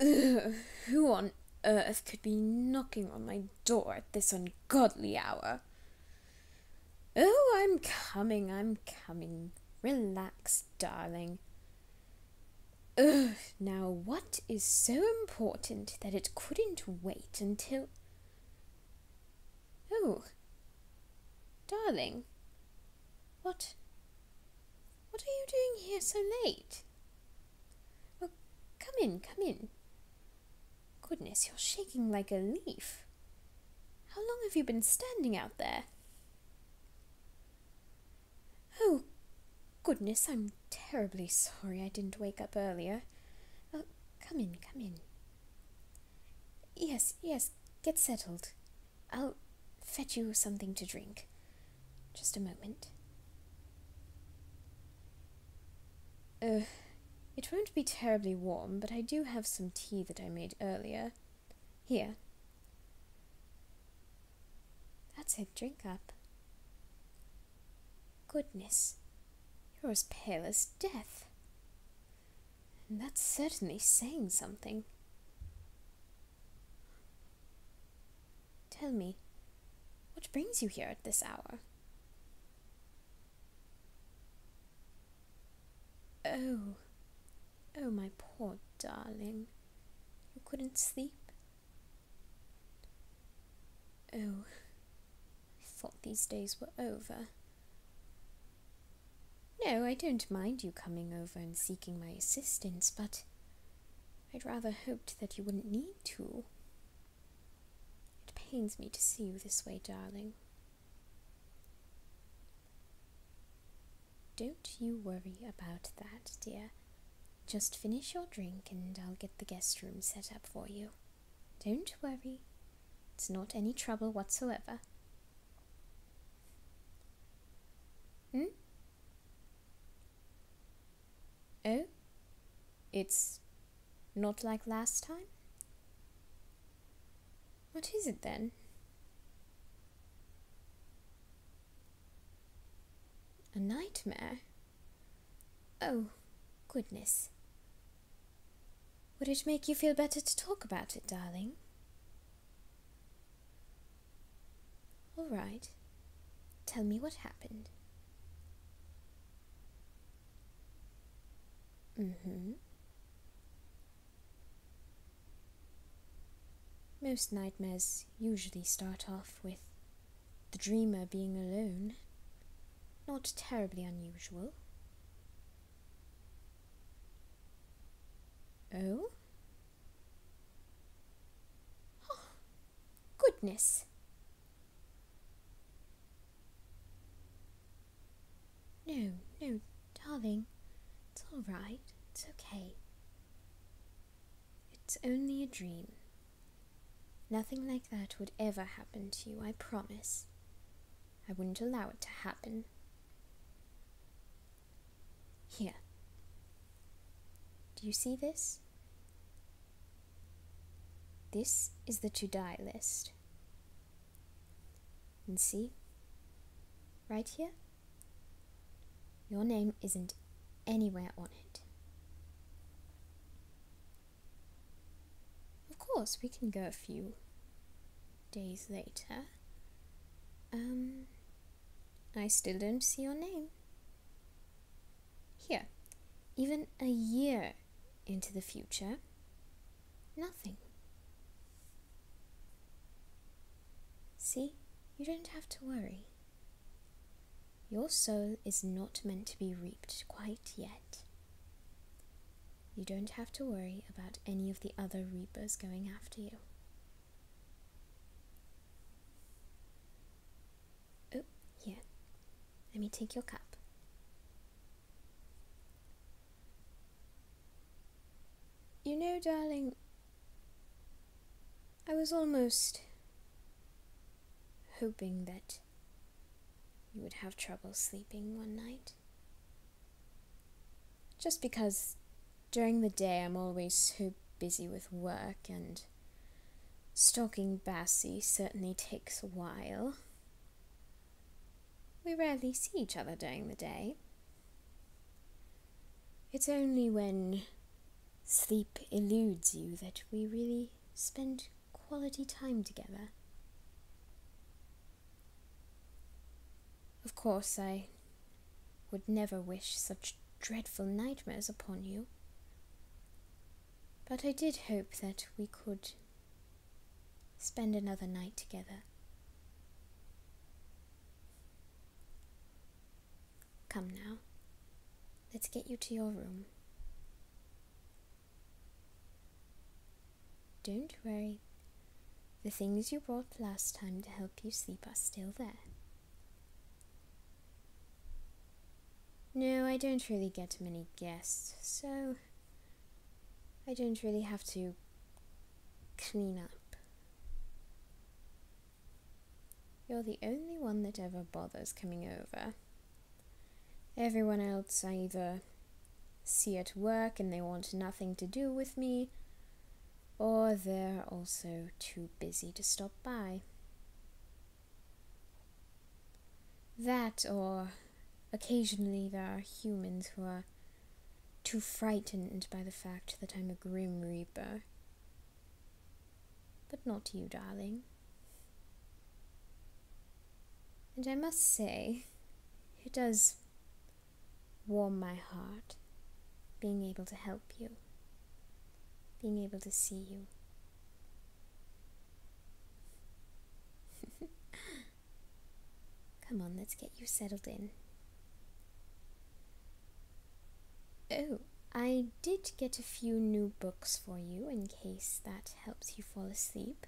Ugh, who on earth could be knocking on my door at this ungodly hour? Oh, I'm coming, I'm coming. Relax, darling. Ugh, now what is so important that it couldn't wait until. Oh, darling, what what are you doing here so late? Well, come in, come in. Goodness, you're shaking like a leaf. How long have you been standing out there? Oh, goodness, I'm terribly sorry I didn't wake up earlier. Oh, come in, come in. Yes, yes, get settled. I'll fetch you something to drink. Just a moment. Uh, it won't be terribly warm, but I do have some tea that I made earlier. Here. That's it, drink up. Goodness, you're as pale as death. And that's certainly saying something. Tell me, what brings you here at this hour? Oh, oh, my poor darling. You couldn't sleep? Oh, I thought these days were over. No, I don't mind you coming over and seeking my assistance, but I'd rather hoped that you wouldn't need to. It pains me to see you this way, darling. Don't you worry about that, dear. Just finish your drink and I'll get the guest room set up for you. Don't worry, it's not any trouble whatsoever. Hmm? Oh? It's not like last time? What is it then? A nightmare? Oh, goodness. Would it make you feel better to talk about it, darling? All right. Tell me what happened. mm Most nightmares usually start off with the dreamer being alone. Not terribly unusual. Oh? goodness. No, no, darling. It's all right. It's okay. It's only a dream. Nothing like that would ever happen to you, I promise. I wouldn't allow it to happen. Here. Do you see this? This is the to die list. And see? Right here? Your name isn't anywhere on it. Of course, we can go a few days later. Um, I still don't see your name. Here, even a year into the future, nothing. See, you don't have to worry. Your soul is not meant to be reaped quite yet. You don't have to worry about any of the other reapers going after you. Oh, here. Let me take your cup. You know, darling, I was almost hoping that you would have trouble sleeping one night? Just because during the day I'm always so busy with work and stalking Bassie certainly takes a while. We rarely see each other during the day. It's only when sleep eludes you that we really spend quality time together. Of course, I would never wish such dreadful nightmares upon you, but I did hope that we could spend another night together. Come now, let's get you to your room. Don't worry, the things you brought last time to help you sleep are still there. No, I don't really get many guests, so I don't really have to clean up. You're the only one that ever bothers coming over, Everyone else I either see at work and they want nothing to do with me, or they're also too busy to stop by. That, or occasionally there are humans who are too frightened by the fact that I'm a Grim Reaper but not you, darling. And I must say, it does warm my heart being able to help you, being able to see you. Come on, let's get you settled in. Oh, I did get a few new books for you in case that helps you fall asleep.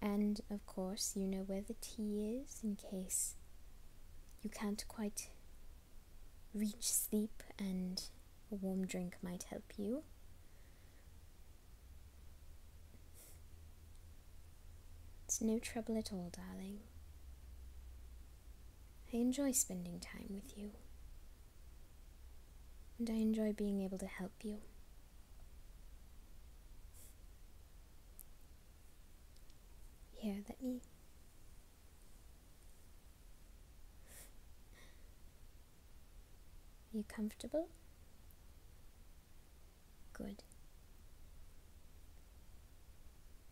And of course, you know where the tea is in case you can't quite reach sleep and a warm drink might help you. It's no trouble at all, darling. I enjoy spending time with you. And I enjoy being able to help you. Here, let me. you comfortable? Good.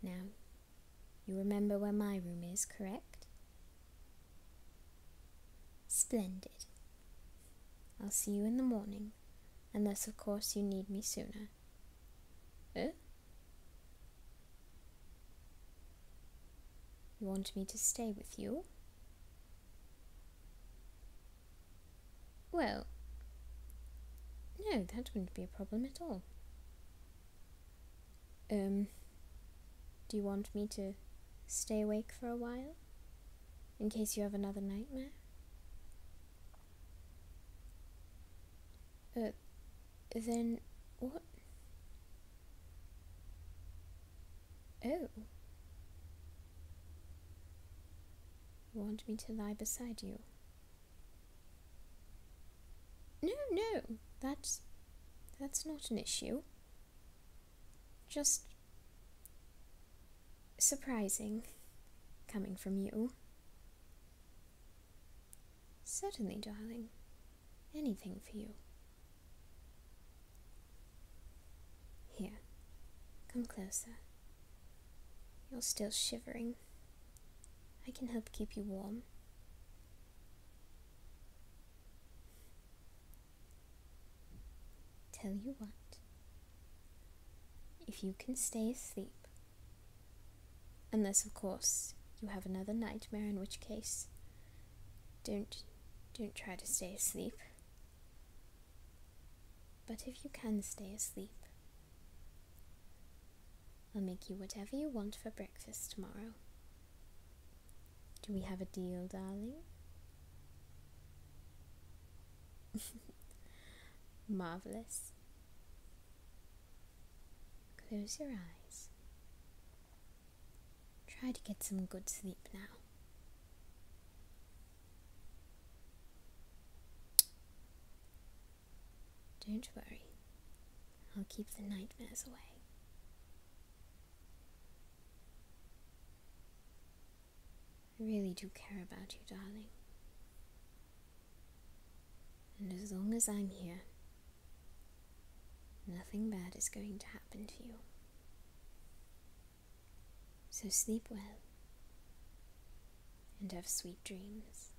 Now, you remember where my room is, correct? Splendid. I'll see you in the morning, unless, of course, you need me sooner. Eh? You want me to stay with you? Well, no, that wouldn't be a problem at all. Um, do you want me to stay awake for a while? In case you have another nightmare? Uh, then what? Oh. You want me to lie beside you? No, no, that's that's not an issue. Just surprising coming from you. Certainly, darling. Anything for you. Here, come closer. You're still shivering. I can help keep you warm. Tell you what, if you can stay asleep, unless, of course, you have another nightmare, in which case, don't, don't try to stay asleep. But if you can stay asleep, I'll make you whatever you want for breakfast tomorrow. Do we have a deal, darling? Marvelous. Close your eyes. Try to get some good sleep now. Don't worry, I'll keep the nightmares away. I really do care about you, darling. And as long as I'm here, nothing bad is going to happen to you. So sleep well and have sweet dreams.